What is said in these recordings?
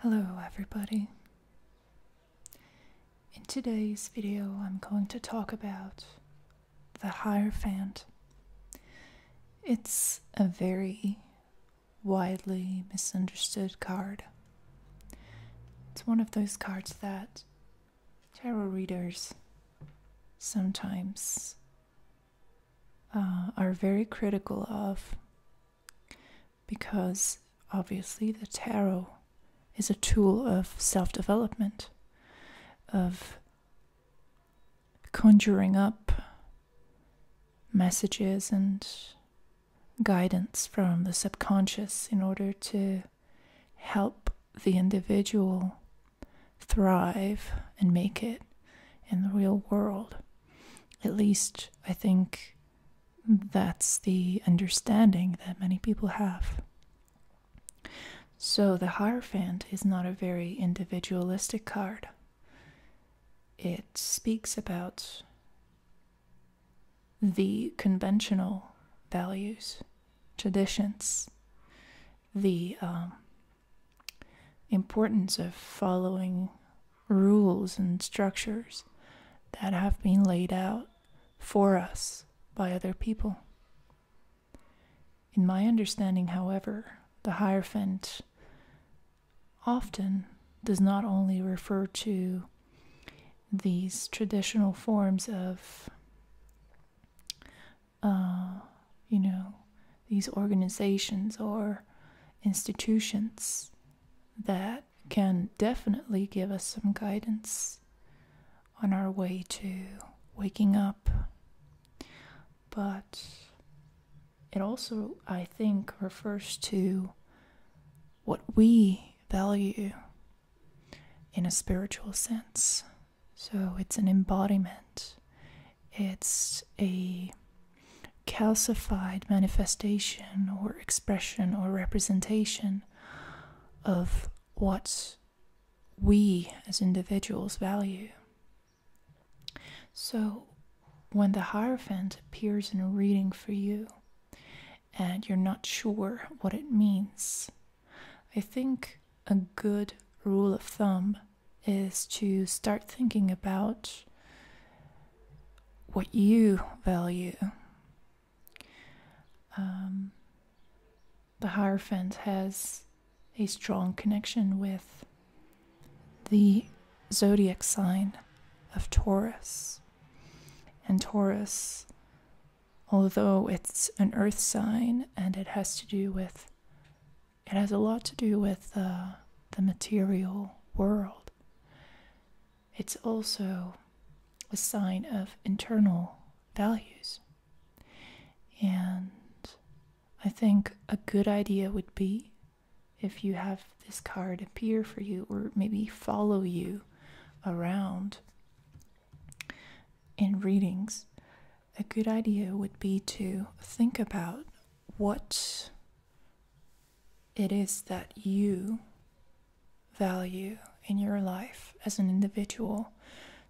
Hello everybody. In today's video I'm going to talk about the Hierophant. It's a very widely misunderstood card. It's one of those cards that tarot readers sometimes uh, are very critical of because obviously the tarot is a tool of self development, of conjuring up messages and guidance from the subconscious in order to help the individual thrive and make it in the real world. At least, I think that's the understanding that many people have. So, the Hierophant is not a very individualistic card it speaks about the conventional values, traditions, the um, importance of following rules and structures that have been laid out for us by other people. In my understanding, however, the Hierophant often does not only refer to these traditional forms of, uh, you know, these organizations or institutions that can definitely give us some guidance on our way to waking up. But it also, I think, refers to what we value in a spiritual sense. So it's an embodiment, it's a calcified manifestation or expression or representation of what we as individuals value. So, when the Hierophant appears in a reading for you and you're not sure what it means, I think a good rule of thumb is to start thinking about what you value. Um, the Hierophant has a strong connection with the zodiac sign of Taurus. And Taurus, although it's an earth sign and it has to do with, it has a lot to do with uh, the material world, it's also a sign of internal values. And I think a good idea would be if you have this card appear for you or maybe follow you around in readings, a good idea would be to think about what it is that you value in your life as an individual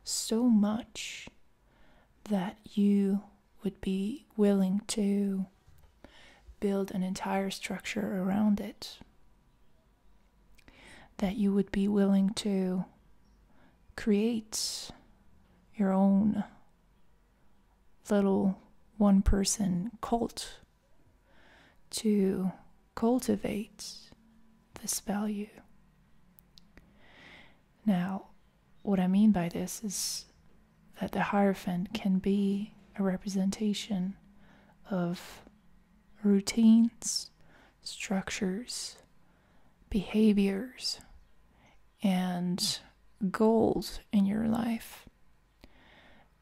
so much that you would be willing to build an entire structure around it. That you would be willing to create your own little one person cult to cultivate this value. Now, what I mean by this is that the Hierophant can be a representation of routines, structures, behaviors, and goals in your life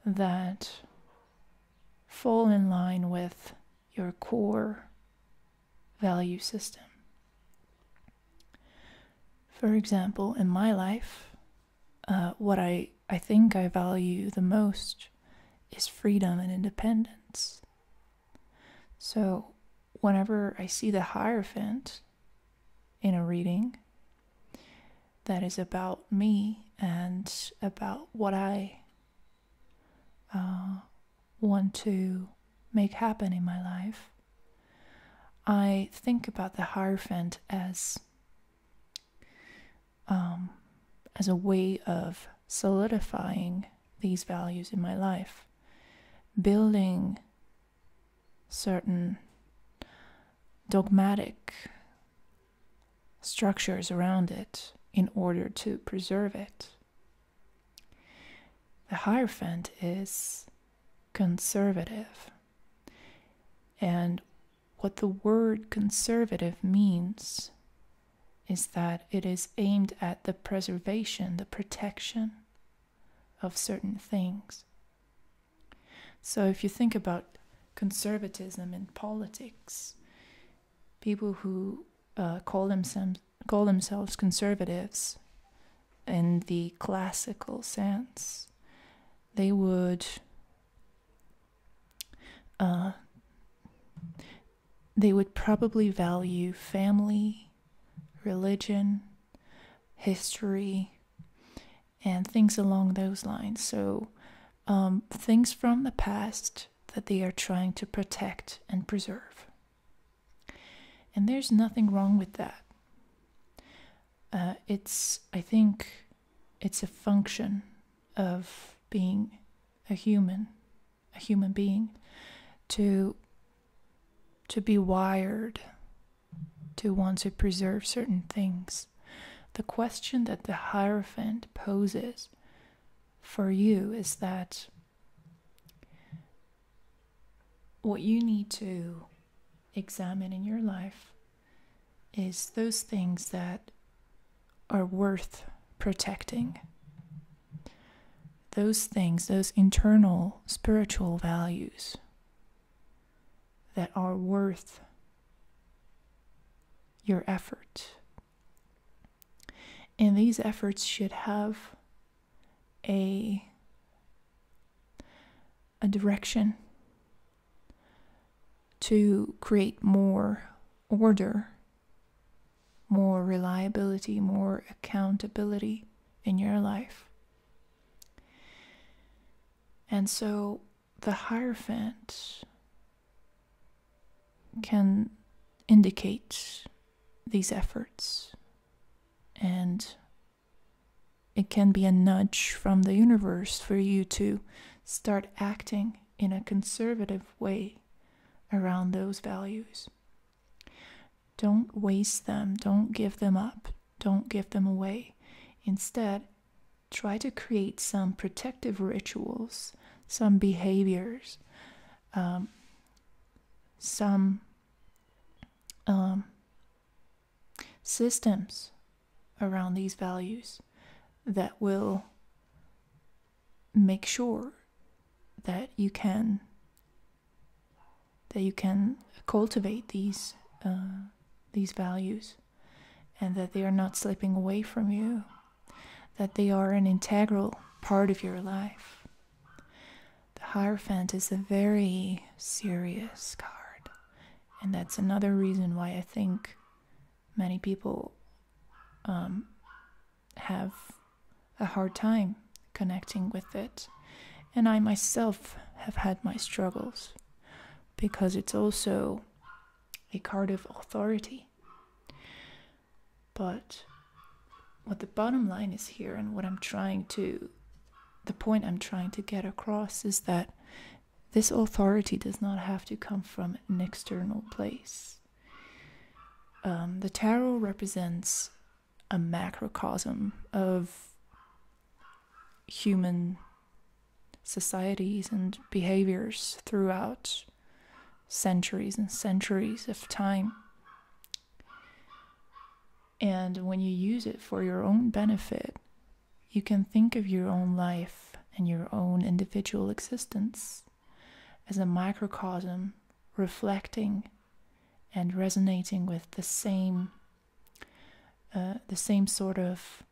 that fall in line with your core value system. For example, in my life, uh, what I, I think I value the most is freedom and independence. So, whenever I see the Hierophant in a reading that is about me and about what I uh, want to make happen in my life, I think about the Hierophant as um, as a way of solidifying these values in my life, building certain dogmatic structures around it in order to preserve it the Hierophant is conservative. And what the word conservative means is that it is aimed at the preservation, the protection of certain things. So if you think about conservatism in politics, people who uh, call themselves call themselves conservatives in the classical sense, they would uh, they would probably value family, religion, history, and things along those lines. So um, things from the past that they are trying to protect and preserve. And there's nothing wrong with that. Uh, it's, I think, it's a function of being a human, a human being, to to be wired to want to preserve certain things. The question that the Hierophant poses for you is that what you need to examine in your life is those things that are worth protecting. Those things, those internal spiritual values that are worth your effort. And these efforts should have a a direction to create more order, more reliability, more accountability in your life. And so the Hierophant can indicate these efforts and it can be a nudge from the universe for you to start acting in a conservative way around those values. Don't waste them, don't give them up, don't give them away. Instead, try to create some protective rituals, some behaviors, um, some um, systems around these values that will make sure that you can that you can cultivate these uh, these values and that they are not slipping away from you that they are an integral part of your life the Hierophant is a very serious card, and that's another reason why I think many people um, have a hard time connecting with it. And I myself have had my struggles because it's also a card of authority. But what the bottom line is here, and what I'm trying to, the point I'm trying to get across is that this authority does not have to come from an external place. Um, the tarot represents a macrocosm of human societies and behaviors throughout centuries and centuries of time. And when you use it for your own benefit, you can think of your own life and your own individual existence as a microcosm reflecting and resonating with the same uh, the same sort of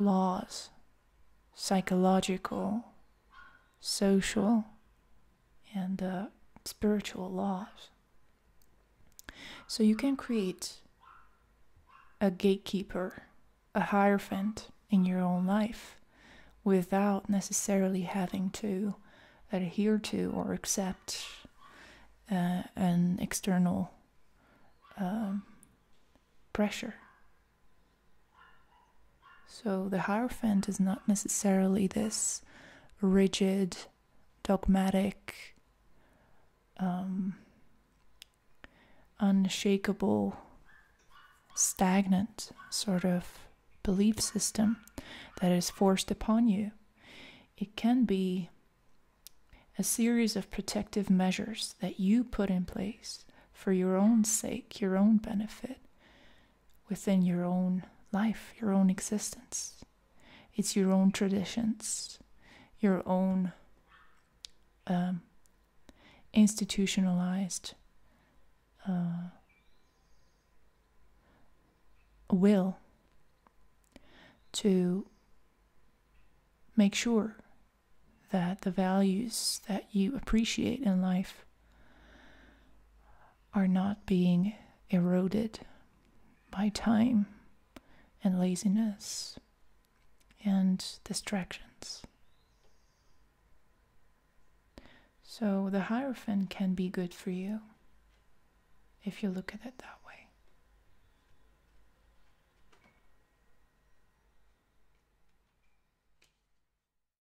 laws psychological social and uh, spiritual laws. So you can create a gatekeeper, a hierophant in your own life without necessarily having to adhere to or accept uh, an external um, pressure. So the Hierophant is not necessarily this rigid, dogmatic, um, unshakable, stagnant sort of belief system that is forced upon you. It can be a series of protective measures that you put in place for your own sake, your own benefit, within your own life, your own existence. It's your own traditions, your own um, institutionalized uh, will to make sure that the values that you appreciate in life are not being eroded by time and laziness and distractions. So the Hierophant can be good for you if you look at it that way.